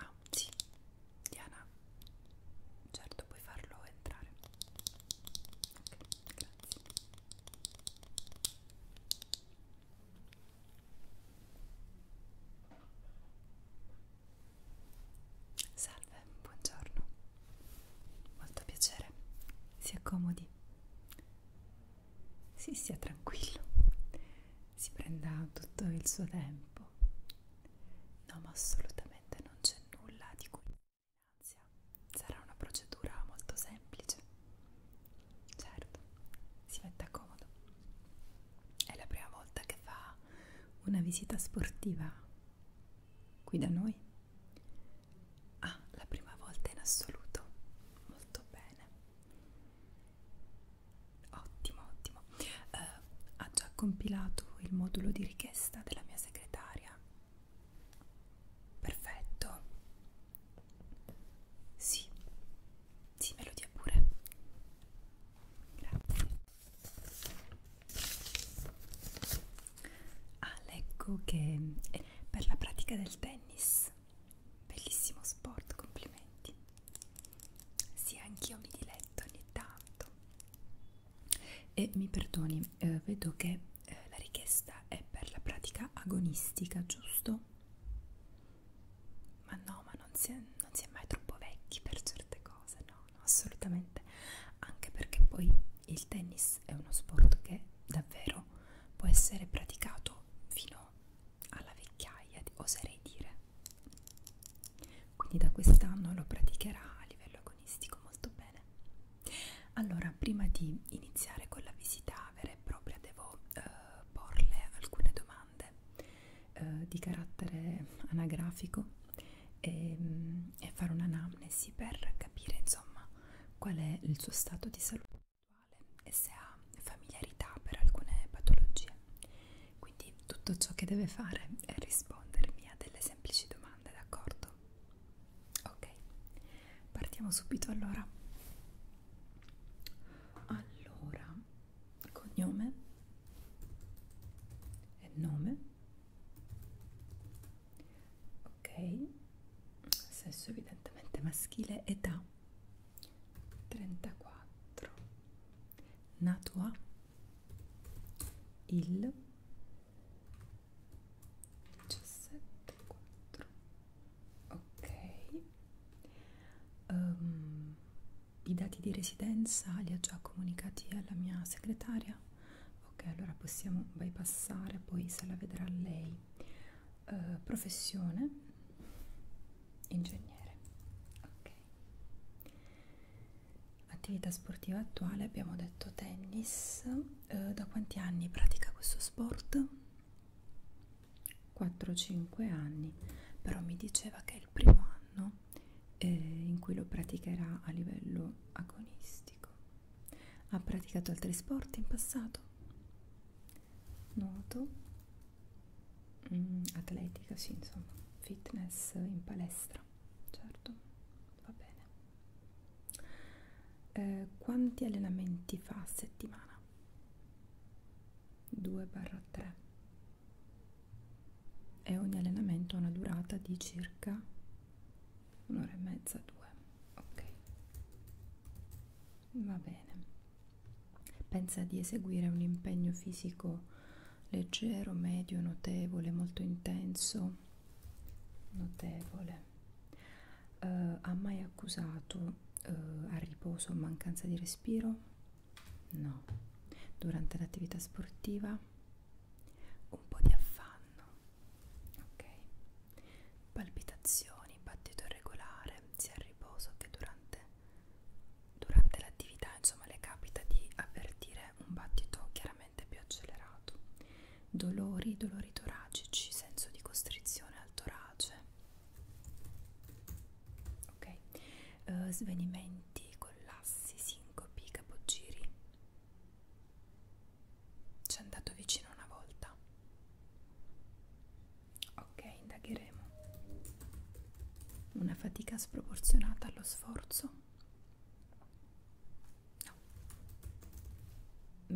Ah, sì, Diana, certo puoi farlo entrare. Ok, grazie. Salve, buongiorno. Molto piacere. Si accomodi. Si sia tranquillo. Si prenda tutto il suo tempo. No, ma assolutamente non c'è nulla di cui ansia. Sarà una procedura molto semplice. Certo, si metta comodo. È la prima volta che fa una visita sportiva qui da noi. Ah, la prima volta in assoluto. Molto bene. Ottimo, ottimo. Eh, ha già compilato il modulo di richiesta della mia segretaria. Perfetto, sì, sì, me lo dia pure. Grazie. Ah, leggo che è eh, per la pratica del tennis. Bellissimo sport, complimenti. Sì, anch'io mi diletto ogni tanto. E mi perdoni, eh, vedo che eh, la richiesta è per la pratica agonistica, giusto? Ma no, ma non si, è, non si è mai troppo vecchi per certe cose, no, no, assolutamente. Anche perché poi il tennis è uno sport che davvero può essere praticato fino alla vecchiaia, oserei dire. Quindi da quest'anno lo praticherà a livello agonistico molto bene. Allora, prima di iniziare con la visita, avere propria devo eh, porle alcune domande eh, di carattere anagrafico e, mm, e fare un'anamnesi per capire insomma qual è il suo stato di salute attuale e se ha familiarità per alcune patologie. Quindi tutto ciò che deve fare è rispondermi a delle semplici domande, d'accordo? Ok, Partiamo subito allora. Allora, cognome e nome. Ok, sesso evidentemente maschile, età 34. Nato a il 17 4 ok um, i dati di residenza li ha già comunicati alla mia segretaria ok allora possiamo bypassare poi se la vedrà lei uh, professione ingegnere ok attività sportiva attuale abbiamo detto tennis uh, da quanti anni pratica questo sport 4-5 anni, però mi diceva che è il primo anno eh, in cui lo praticherà a livello agonistico. Ha praticato altri sport in passato? Nuoto, mm, atletica, sì, insomma, fitness in palestra, certo, va bene. Eh, quanti allenamenti fa a settimana? 2-3 e ogni allenamento ha una durata di circa un'ora e mezza, due. Ok, va bene. Pensa di eseguire un impegno fisico leggero, medio, notevole, molto intenso. Notevole Uh, ha mai accusato uh, a riposo o mancanza di respiro? No. Durante l'attività sportiva? Un po' di affanno. Ok. Palpitazioni, battito irregolare, sia a riposo che durante, durante l'attività, insomma, le capita di avvertire un battito chiaramente più accelerato. Dolori, dolori toracici, senso di costrizione al torace, ok uh, svenimenti collassi sincopi capogiri ci è andato vicino una volta ok indagheremo una fatica sproporzionata allo sforzo no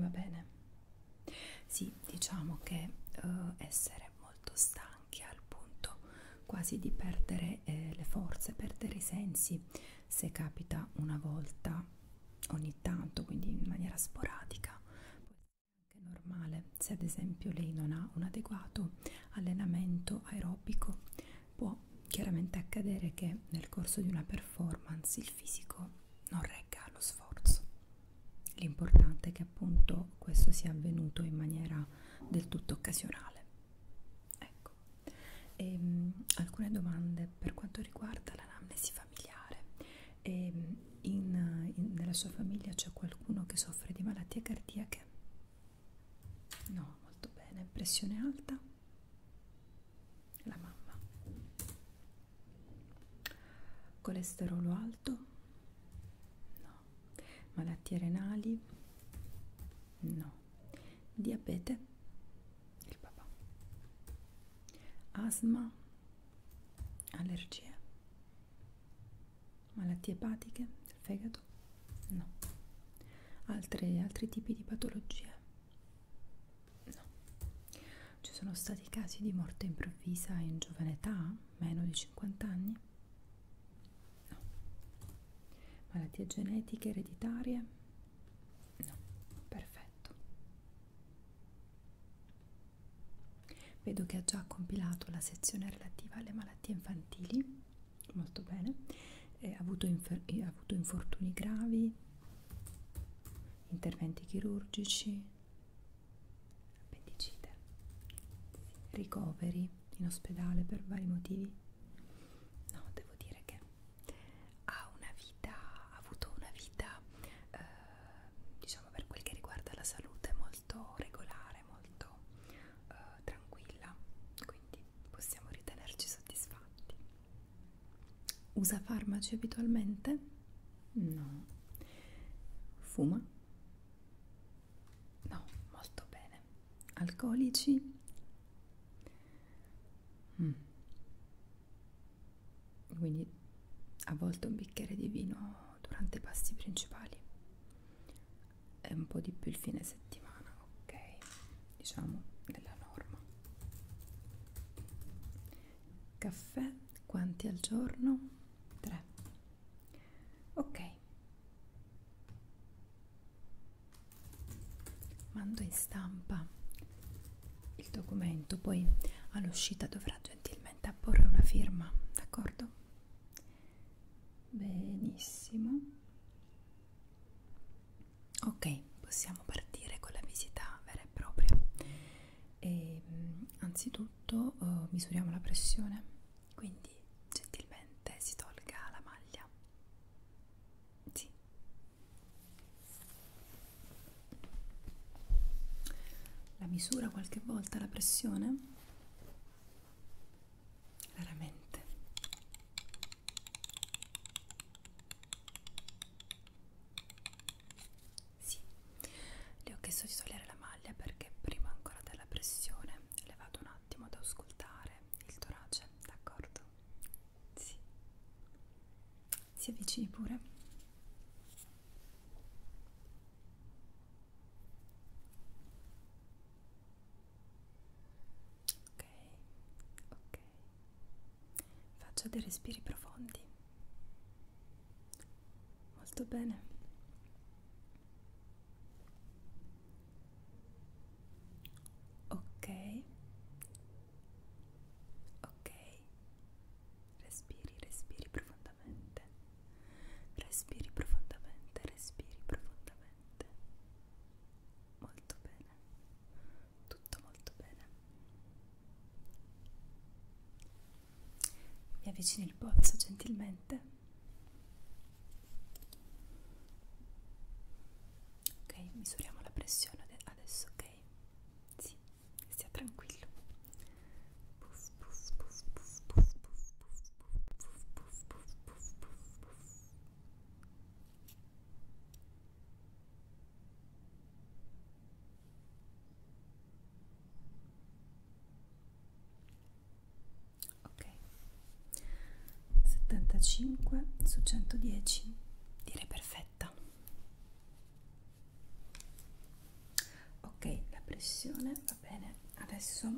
va bene sì, diciamo che eh, essere molto stanchi al punto quasi di perdere eh, le forze, perdere i sensi, se capita una volta ogni tanto, quindi in maniera sporadica, è anche normale. Se ad esempio lei non ha un adeguato allenamento aerobico, può chiaramente accadere che nel corso di una performance il fisico non regga allo sforzo. L'importante è che appunto questo sia avvenuto in maniera del tutto occasionale. Ecco. E, um, alcune domande per quanto riguarda l'anamnesi familiare. E, ehm, in, in, nella sua famiglia c'è qualcuno che soffre di malattie cardiache? No, molto bene. Pressione alta? La mamma colesterolo alto no malattie renali no diabete il papà asma allergie malattie epatiche del fegato no Altre, altri tipi di patologie no ci sono stati casi di morte improvvisa in giovane età, meno di 50 anni? No. Malattie genetiche ereditarie? No, perfetto. Vedo che ha già compilato la sezione relativa alle malattie infantili, molto bene. E ha, avuto ha avuto infortuni gravi, interventi chirurgici, appendicite, ricoveri in ospedale per vari motivi. No, devo dire che ha una vita, ha avuto una vita, eh, diciamo per quel che riguarda la salute, molto regolare, molto eh, tranquilla, quindi possiamo ritenerci soddisfatti. Usa farmaci abitualmente? No. Fuma? No, molto bene. Alcolici? Mm. Quindi a volte un bicchiere di vino durante i pasti principali e un po' di più il fine settimana, ok? Diciamo della norma. Caffè? Quanti al giorno? 3 ok mando in stampa il documento poi all'uscita dovrà gentilmente apporre una firma d'accordo benissimo ok possiamo partire con la visita vera e propria e mm, anzitutto eh, misuriamo la pressione quindi gentilmente si tolga la maglia sì. la misura qualche volta la pressione raramente sì, le ho chiesto di togliere la maglia perché prima ancora della pressione le vado un attimo ad auscultare il torace, d'accordo? Sì. Si avvicini pure. Ok, ok. Faccio dei respiri profondi molto bene ok ok respiri respiri profondamente respiri profondamente respiri profondamente molto bene tutto molto bene mi avvicini il pozzo gentilmente. Ok, misuriamo la pressione adesso, ok? Sì, stia tranquillo. Puff, puff, puff, puff, puff, puff, puff, puff, puff, puff, puff, puff, puff ok 75 su 110 direi perfetta ok la pressione va bene adesso uh,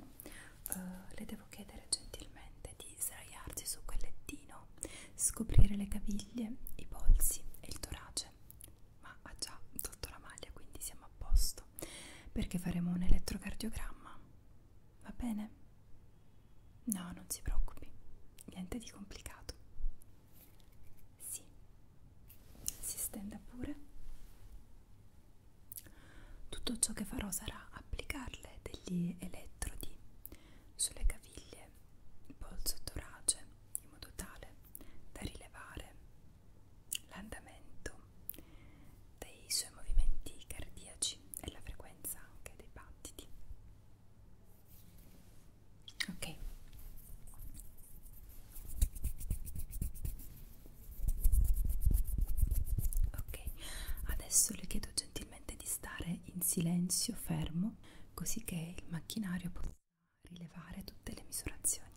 le devo chiedere gentilmente di sdraiarsi su quel lettino scoprire le caviglie i polsi e il torace ma ha già tolto la maglia quindi siamo a posto adesso perché faremo un elettrocardiogramma va bene? no non si preoccupi niente di complicato sì si stenda pure tutto ciò che farò sarà applicarle degli elettrodi sulle caviglie il polso torace in modo tale da rilevare l'andamento dei suoi movimenti cardiaci e la frequenza anche dei battiti. Ok. Ok, adesso le chiedo gentilmente di stare in silenzio fermo così che il macchinario possa rilevare tutte le misurazioni.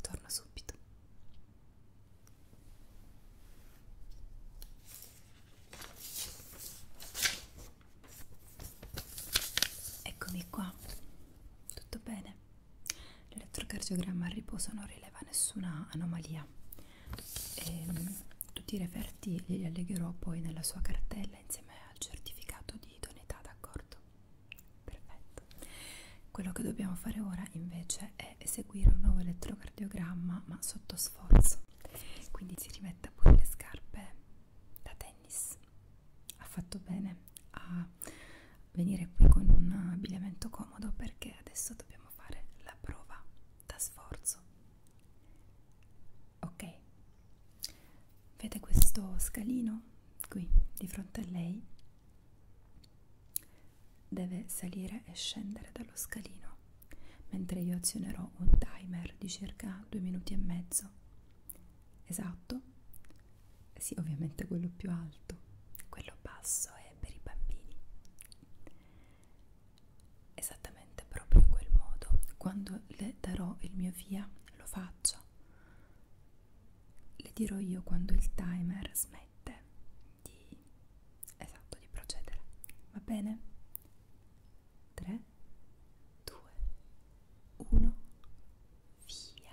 Torno subito. Eccomi qua. Tutto bene. L'elettrocardiogramma a riposo non rileva nessuna anomalia. E, ehm, tutti i referti li allegherò poi nella sua cartella insieme al certificato di idoneità, d'accordo? perfetto quello che dobbiamo fare ora invece è eseguire un nuovo elettrocardiogramma ma sotto sforzo quindi si rimetta pure le scarpe da tennis ha fatto bene a venire qui con un abbigliamento comodo perché adesso dobbiamo fare la prova da sforzo ok vede questo scalino qui di fronte a lei Deve salire e scendere dallo scalino, mentre io azionerò un timer di circa due minuti e mezzo. Esatto? Sì, ovviamente quello più alto, quello basso è per i bambini. Esattamente proprio in quel modo, quando le darò il mio via, lo faccio le dirò io quando il timer smette di esatto di procedere va bene 3 2 1 via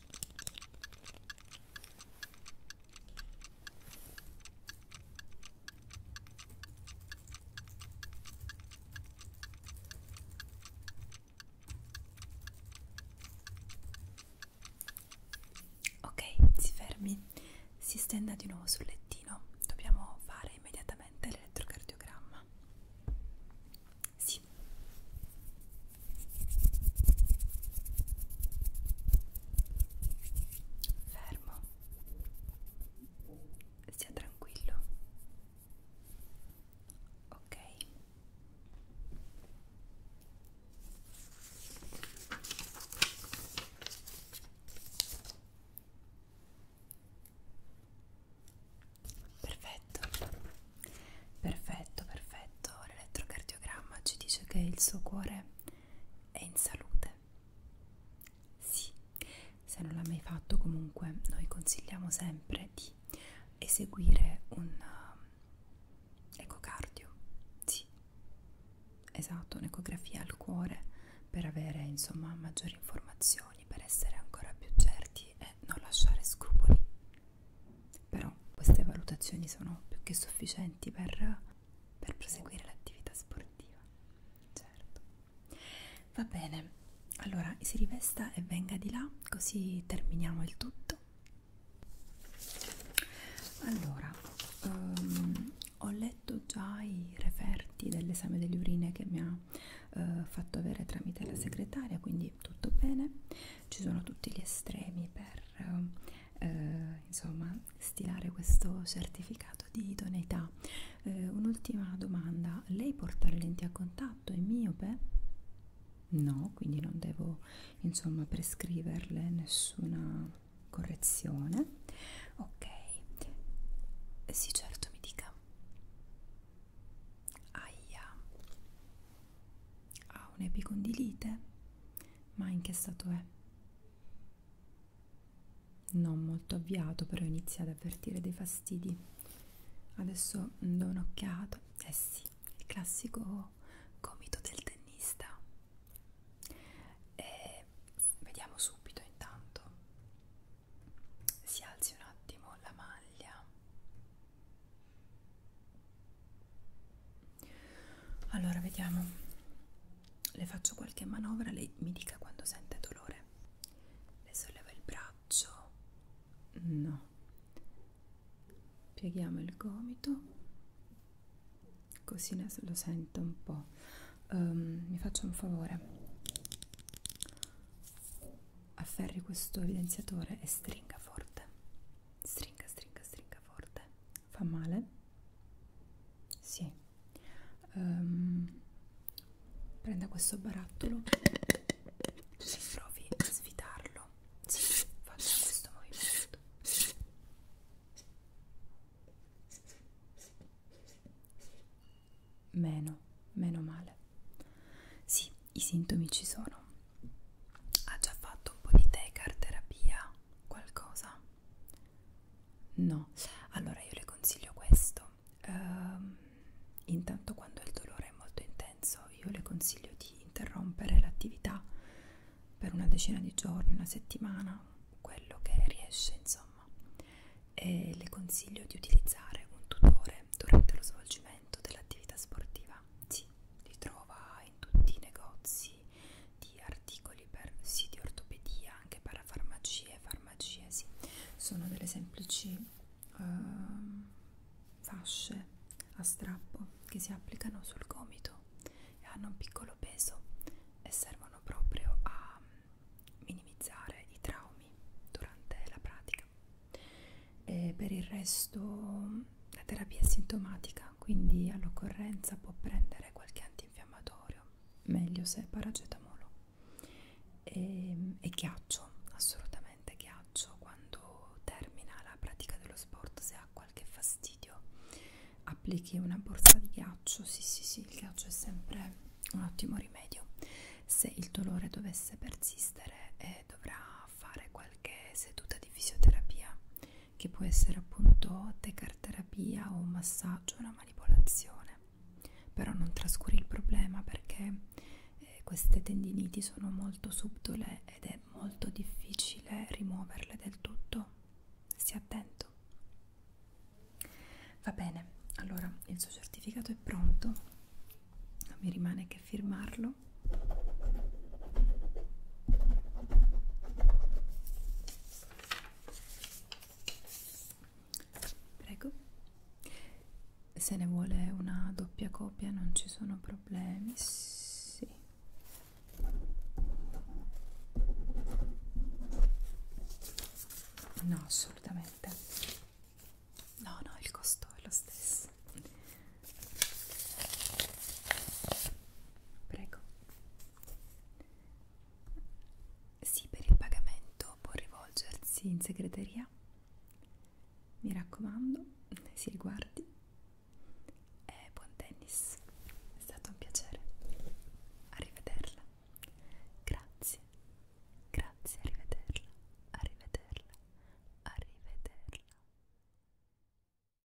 Ok, si fermi, si stenda di nuovo sul lettino. Dobbiamo fare immediatamente l'elettrocardiogramma. Sì. Fermo. Sia tranquillo. Ok. Perfetto. Perfetto, perfetto. L'elettrocardiogramma ci dice che il suo cuore è in salute. Sì, se non l'ha mai fatto comunque noi consigliamo sempre di eseguire un um, ecocardio. Sì, esatto, un'ecografia al cuore per avere insomma maggiori informazioni, per essere ancora più certi e non lasciare scrupoli. Però queste valutazioni sono più che sufficienti per, per proseguire l'attività sportiva. Certo. Va bene, allora si rivesta e venga di là, così terminiamo il tutto. Allora, um, ho letto già i referti dell'esame delle urine che mi ha uh, fatto avere tramite la segretaria, quindi tutto bene. Ci sono tutti gli estremi per uh, eh, insomma stilare questo certificato di idoneità eh, un'ultima domanda lei porta le lenti a contatto è miope? no quindi non devo insomma prescriverle nessuna correzione ok sì certo mi dica aia ha un'epicondilite, ma in che stato è? Non molto avviato, però inizia ad avvertire dei fastidi. Adesso do un'occhiata. Eh sì, il classico gomito del tennista. E eh, vediamo subito intanto. Si alzi un attimo la maglia allora vediamo. Le faccio qualche manovra, lei mi dica quando sente dolore. Le solleva il braccio. No. Pieghiamo il gomito. Così ne lo sento un po'. Um, mi faccio un favore. Afferri questo evidenziatore e stringa forte. Stringa, stringa, stringa forte. Fa male? Sì. Um, prenda questo barattolo. Se provi a sfidarlo. Sì, faccia questo movimento. Meno, meno male. Sì, i sintomi ci sono ha già fatto un po' di tecar terapia qualcosa no allora io le consiglio questo um, intanto quando il dolore è molto intenso io le consiglio di interrompere l'attività per una decina di giorni una settimana quello che riesce insomma e le consiglio di utilizzare un tutore durante lo svolgimento dell'attività sportiva si sì, li trova in tutti i negozi analisi di articoli per siti ortopedia, anche parafarmacie, farmacie, sì. sono delle semplici uh, fasce a strappo che si applicano sul gomito e hanno un piccolo peso e servono proprio a minimizzare i traumi durante la pratica. E per il resto la terapia sintomatica quindi all'occorrenza può prendere qualche antinfiammatorio, meglio se paracetamolo. E, ehm, e ghiaccio, assolutamente ghiaccio, quando termina la pratica dello sport, se ha qualche fastidio, applichi una borsa di ghiaccio, sì sì sì, il ghiaccio è sempre un ottimo rimedio. Se il dolore dovesse persistere e eh, dovrà fare qualche seduta di fisioterapia, che può essere appunto tecar terapia o un massaggio, una manipolazione. Però non trascuri il problema perché eh, queste tendiniti sono molto subdole ed è molto difficile rimuoverle del tutto. Stia attento. Va bene, allora il suo certificato è pronto, mi rimane che firmarlo Prego. Se ne vuole una doppia copia non ci sono problemi. Sì. No, assolutamente. No, no, il costo è lo stesso. Prego. Sì, per il pagamento può rivolgersi in segreteria. Mi raccomando, si riguardi. E eh, buon tennis. È stato un piacere. Arrivederla. Grazie. Grazie, arrivederla. Arrivederla. Arrivederla.